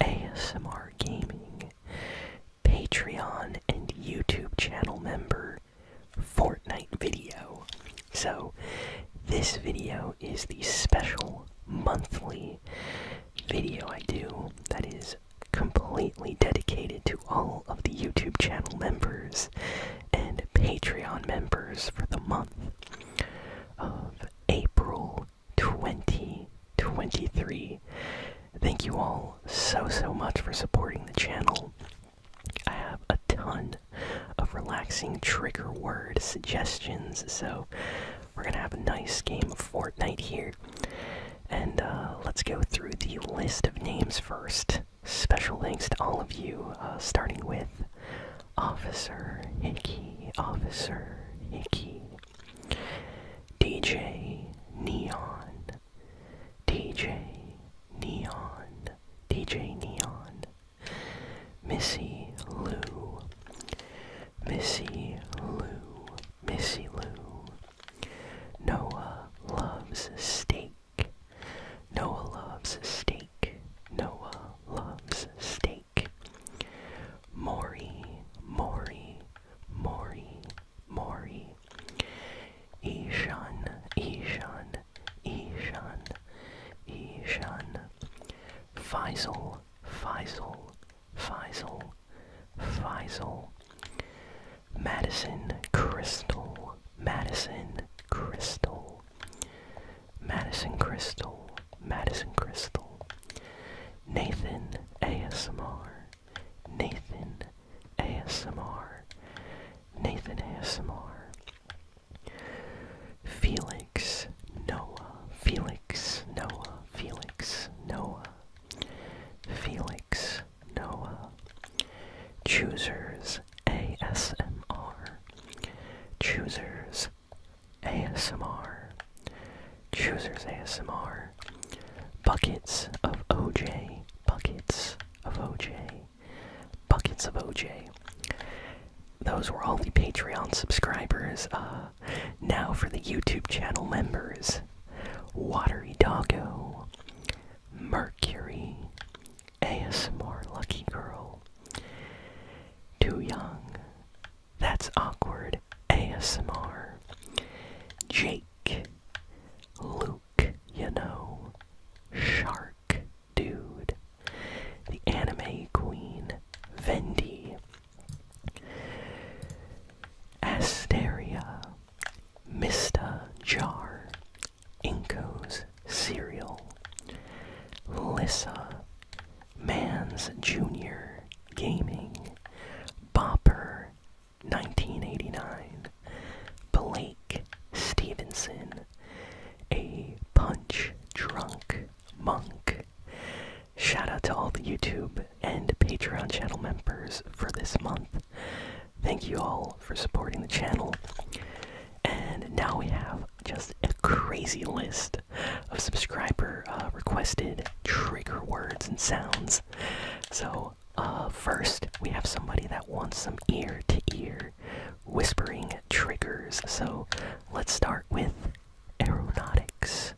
ASMR Gaming, Patreon, and YouTube channel member Fortnite video. So, this video is the special monthly video I do that is completely dedicated to all of the YouTube channel members and Patreon members for the month of April 2023. Thank you all so, so much for supporting the channel. I have a ton of relaxing trigger word suggestions, so we're gonna have a nice game of Fortnite here. And uh, let's go through the list of names first. Special thanks to all of you, uh, starting with Officer Hickey, Officer Hickey, DJ Neon, DJ Neon, DJ Neon, Missy Lou, Missy Lou, Missy Lou, Noah loves steak, Noah loves steak, Noah loves steak snake. Mori, Mori, Mori, Mori. Ishan, Ishan, Ishan, Ishan. Faisal, Faisal, Faisal, Faisal. Madison Crystal, Madison Crystal. Madison Crystal, Madison Crystal, Nathan ASMR, Nathan ASMR, Nathan ASMR, Felix Noah, Felix Noah, Felix Noah, Felix Noah, Choosers ASMR, Choosers ASMR, Choosers ASMR, Buckets of OJ, Buckets of OJ, Buckets of OJ. Those were all the Patreon subscribers. Uh, now for the YouTube channel members Watery Doggo, Mercury, ASMR Lucky Girl, Too Young, that's awkward. ASMR. Jake. Luke, you know. Shark Dude. The Anime Queen. Vendi. Asteria. Mister Jar. Inko's Cereal. Lissa. Mans Junior Gaming, Bopper, 1989, Blake Stevenson, A Punch Drunk Monk. Shout out to all the YouTube and Patreon channel members for this month. Thank you all for supporting the channel. And now we have just a crazy list of subscriber uh, requested trigger words and sounds. So, uh, first, we have somebody that wants some ear to ear whispering triggers. So, let's start with aeronautics.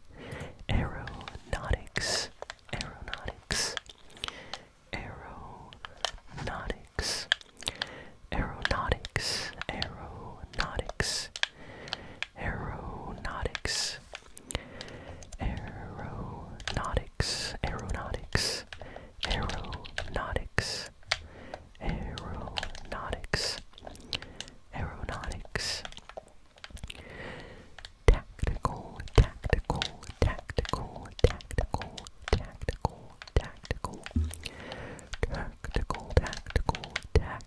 Aeronautics. Aeronautics. Aeronautics. Aeronautics. Aeronautics aeronautics aeronautics aeronautics aeronautics aeronautics aeronautics tactical tactical tactical tactical tactical tactical tactical tactical tactical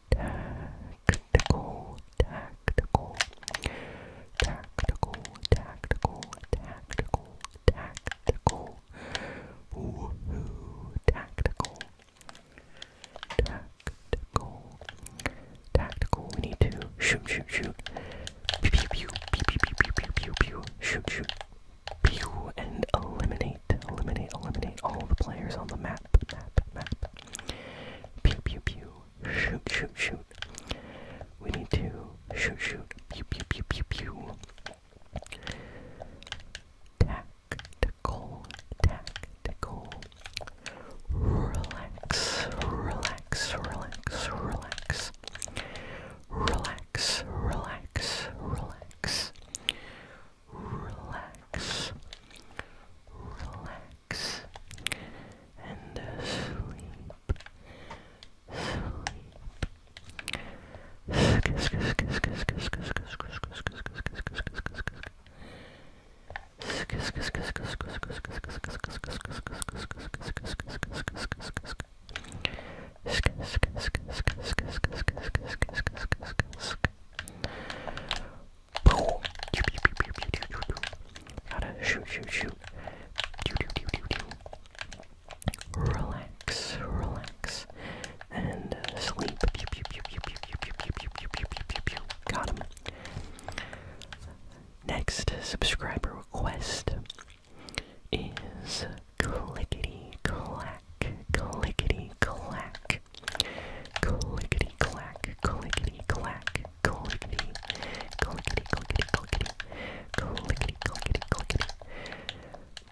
tactical, tactical, tactical, tactical, tactical, tactical, woohoo, tactical, tactical, tactical. We need to shoot, shoot, shoot, pew, pew, pew, pew, pew, pew, pew, pew, shoot, shoot, pew, and eliminate, eliminate, eliminate all the players on the mat map, map, map. Pew, pew, pew. Shoot, shoot, shoot. We need to shoot, shoot. Pew, pew, pew, pew, pew. Tactical, tactical. Relax, relax, relax, relax. Relax, relax, relax relax, relax, and uh, sleep, sleep. Boom. Gotta shoot, shoot, shoot. Do, do, do, do, do. Relax, relax. And uh, sleep. Pew, pew, pew, pew, pew, pew, pew, pew, pew, pew, pew, pew, pew. Got him. Next subscriber request is Clickety Clack clack, clickety clack, clickety clack, clickety clack, clickety, clickety, clickety, clickety, clickety, clickety, clickety,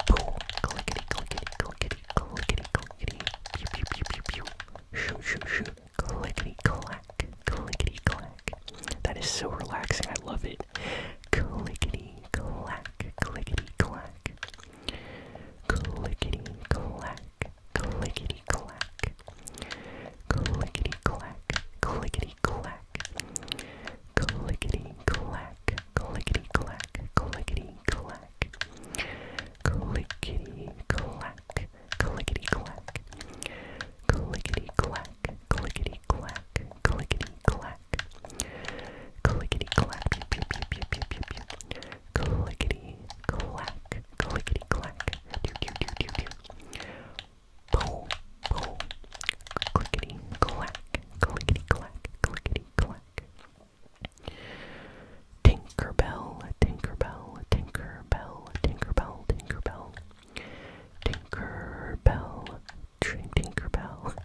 boom, clickety, clickety, clickety, clickety, clickety, pew, pew, pew, pew, pew, shoo, shoo, shoo, clickety clack, clickety clack. That is so relaxing. I love it. Clickety clack, clickety clack. Clickety clack, clack, clickety clack, clickety clack, clickety clack, clickety clack, clickety clack, clickety clack, clickety clack, clickety clack, clickety clack, clickety clack, clickety clack, clickety clack, pew pew pew pew pew pew. Clickety clack, clickety clack. Do, do, do, do, do. Boom, boom. Clickety clack, clickety clack, clickety clack. Tinkerbell, Tinkerbell, Tinkerbell, Tinkerbell, Tinkerbell. Tinkerbell, Tinkerbell. Tinkerbell.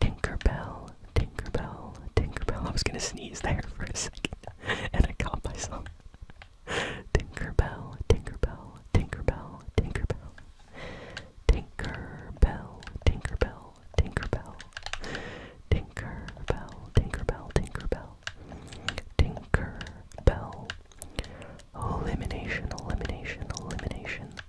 Tinkerbell, Tinkerbell, Tinkerbell. I was gonna sneeze there for a second and I caught myself. Tinkerbell, Tinkerbell, Tinkerbell, Tinkerbell. Tinkerbell, Tinkerbell, Tinkerbell. Tinkerbell, Tinkerbell, Tinkerbell. Tinkerbell. Oh, elimination, elimination, elimination.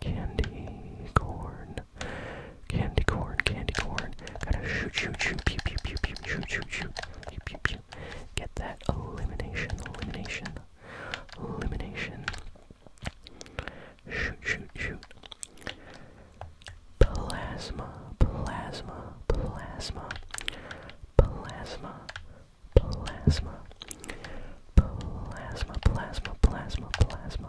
Candy corn. Candy corn, candy corn. Gotta shoot, shoot, shoot, pew, pew, pew, pew, shoot, shoot, shoot, pew, pew, pew. Get that elimination, elimination, elimination. Shoot, shoot, shoot. Plasma, plasma, plasma, plasma, plasma, plasma, plasma, plasma, plasma.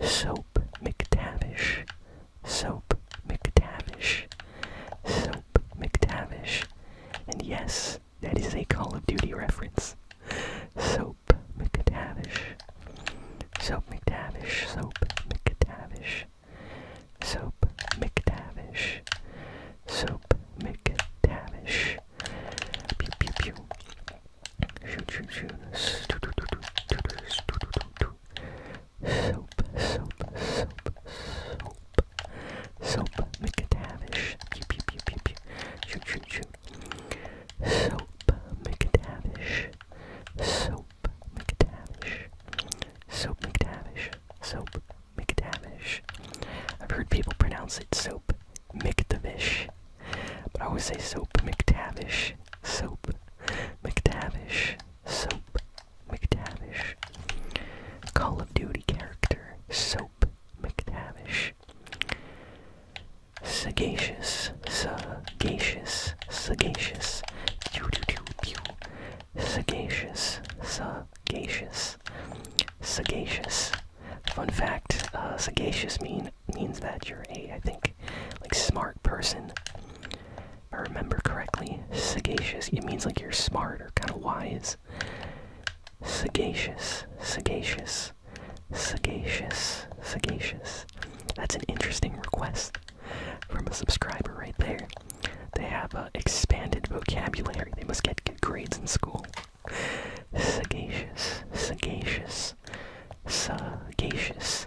Soap McTavish. Soap McTavish. Soap McTavish. And yes, that is a Call of Duty reference. Soap McTavish. Soap McTavish. Soap McTavish. Soap McTavish. Soap McTavish. Pew pew pew. Shoot, shoot, shoot. Soap, soap, soap, soap. Soap, make it lavish. Pew, pew, pew, pew, pew. Shoot, shoot, shoot. Soap, make it lavish. Soap, make it lavish. Soap, make it lavish. Soap, make it lavish. I've heard people pronounce it soap, make it the fish. But I always say soap McTavish. Soap McTavish. Soap McTavish. Call of Duty character. Soap McTavish. Sagacious. Sagacious. Sagacious. Sagacious. Sagacious. Sagacious. Fun fact, uh, sagacious mean means that you're a, I think, like smart person. I remember correctly, sagacious. It means like you're smart or kind of wise. Sagacious, sagacious, sagacious, sagacious. That's an interesting request from a subscriber right there. They have an expanded vocabulary. They must get good grades in school. Sagacious, sagacious, sagacious.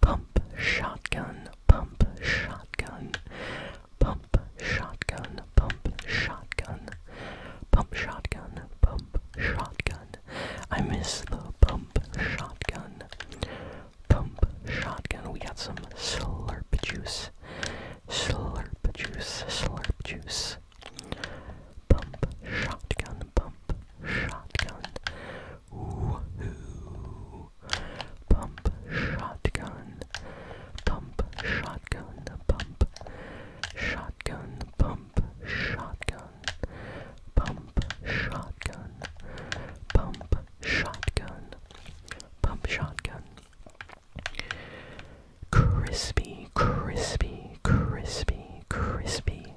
Pump shotgun, pump shotgun, pump shotgun, pump shotgun, pump shotgun, pump shotgun. I miss the pump shotgun. Pump shotgun. We got some slurp juice. Slurp juice, slurp juice. Pump shotgun, pump shotgun, Woohoo! Pump shotgun. Pump shotgun. Pump shotgun. Pump shotgun. Pump shotgun. Pump shotgun. Pump shotgun. Crispy, crispy, crispy, crispy,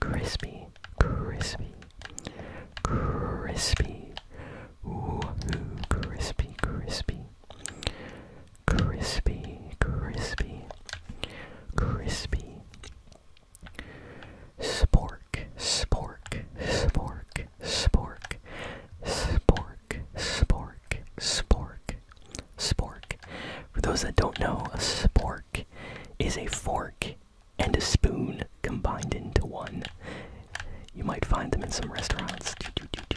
Crispy, crispy, crispy. Ooh, crispy, crispy. Crispy, crispy, crispy. Spork, spork, spork, spork, spork, spork, spork, spork. For those that don't know, a spork is a fork and a spoon combined into one. You might find them in some restaurants,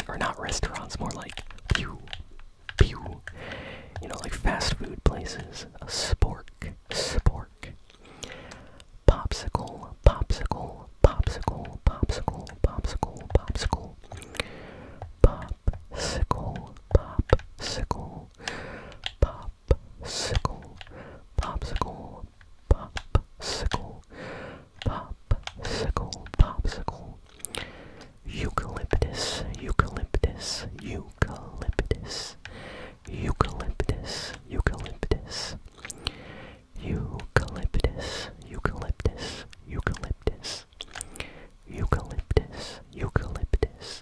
or not restaurants, more like pew, pew. You know, like fast food places. A spork, spork. Popsicle, popsicle, popsicle, popsicle, popsicle, popsicle. Popsicle, popsicle, popsicle. Pop popsicle, popsicle, popsicle, popsicle, popsicle. Eucalyptus, eucalyptus, eucalyptus, eucalyptus, eucalyptus, eucalyptus, eucalyptus, eucalyptus, eucalyptus, eucalyptus,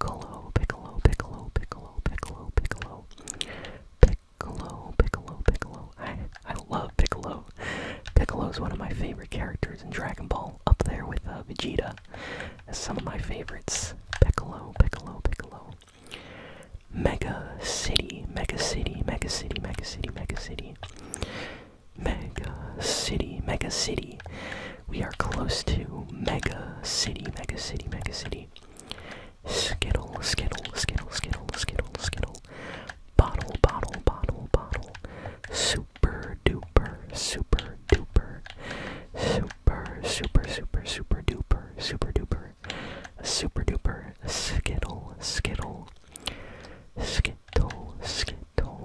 Piccolo, Piccolo, Piccolo, Piccolo, Piccolo, Piccolo, Piccolo, Piccolo, Piccolo. I, I love Piccolo. Piccolo is one of my favorite characters in Dragon Ball, up there with uh, Vegeta. As some of my favorites. Piccolo, Piccolo, Piccolo. Mega City, Mega City, Mega City, Mega City, Mega City. Mega City, Mega City. Mega City. We are close to Mega City, Mega City, Mega City. Skittle, Skittle, Skittle, Skittle, Skittle, Skittle. Bottle, bottle, bottle, bottle. Super duper, super duper. Super, super, super, super duper, super duper. Super duper, skittle, skittle. Skittle, skittle.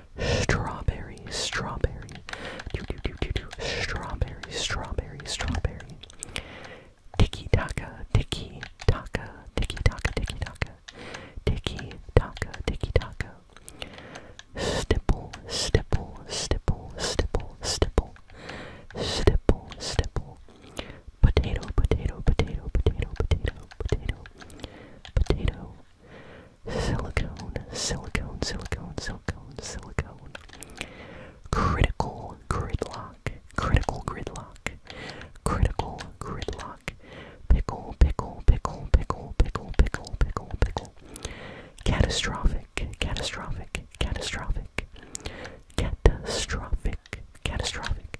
Strawberry, strawberry, do do do do do. Strawberry, strawberry, strawberry. Tiki taka, tiki taka, tiki taka, tiki taka, tiki taka, tiki taka. Stipple, stipple, stipple, stipple, stipple, stipple, stipple. Potato, potato, potato, potato, potato, potato, potato. Silicone, silicone, silicone, silicone, silicone. Critical gridlock, critical gridlock, critical gridlock. Pickle, pickle, pickle, pickle, pickle, pickle, pickle, pickle. Catastrophic, catastrophic, catastrophic. Catastrophic, catastrophic.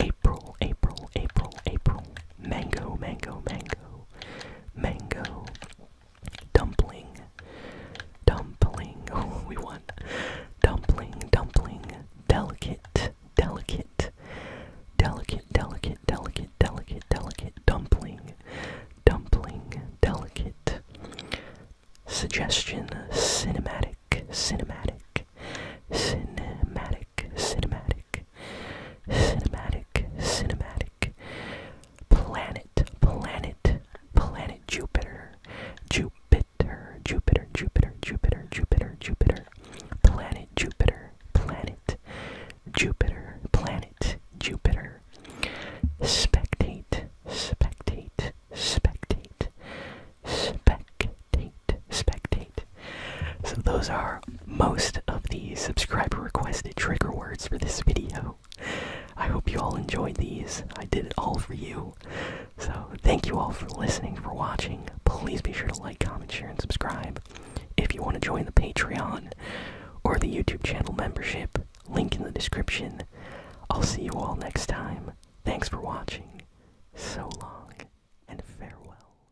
April, April, April, April. Mango, mango, mango mango, mango, dumpling, dumpling. Oh, we want dumpling, dumpling, delicate, delicate, delicate, delicate, delicate, delicate, delicate, dumpling, dumpling, delicate. Suggestion, cinematic, cinematic, cinematic cinematic, cinematic, cinematic, cinematic. Planet, planet, planet Jupiter, Jupiter, Jupiter, Jupiter, Jupiter, Jupiter, Jupiter. Planet Jupiter, planet Jupiter, planet Jupiter. Spectate, spectate, spectate, spectate, spectate, so, those are most of the subscriber requested trigger words for this video. I hope you all enjoyed these. I did it all for you. So, thank you all for listening, for watching. Please be sure to like, comment, share, and subscribe. If you want to join the Patreon or the YouTube channel membership, link in the description. I'll see you all next time. Thanks for watching. So long, and farewell.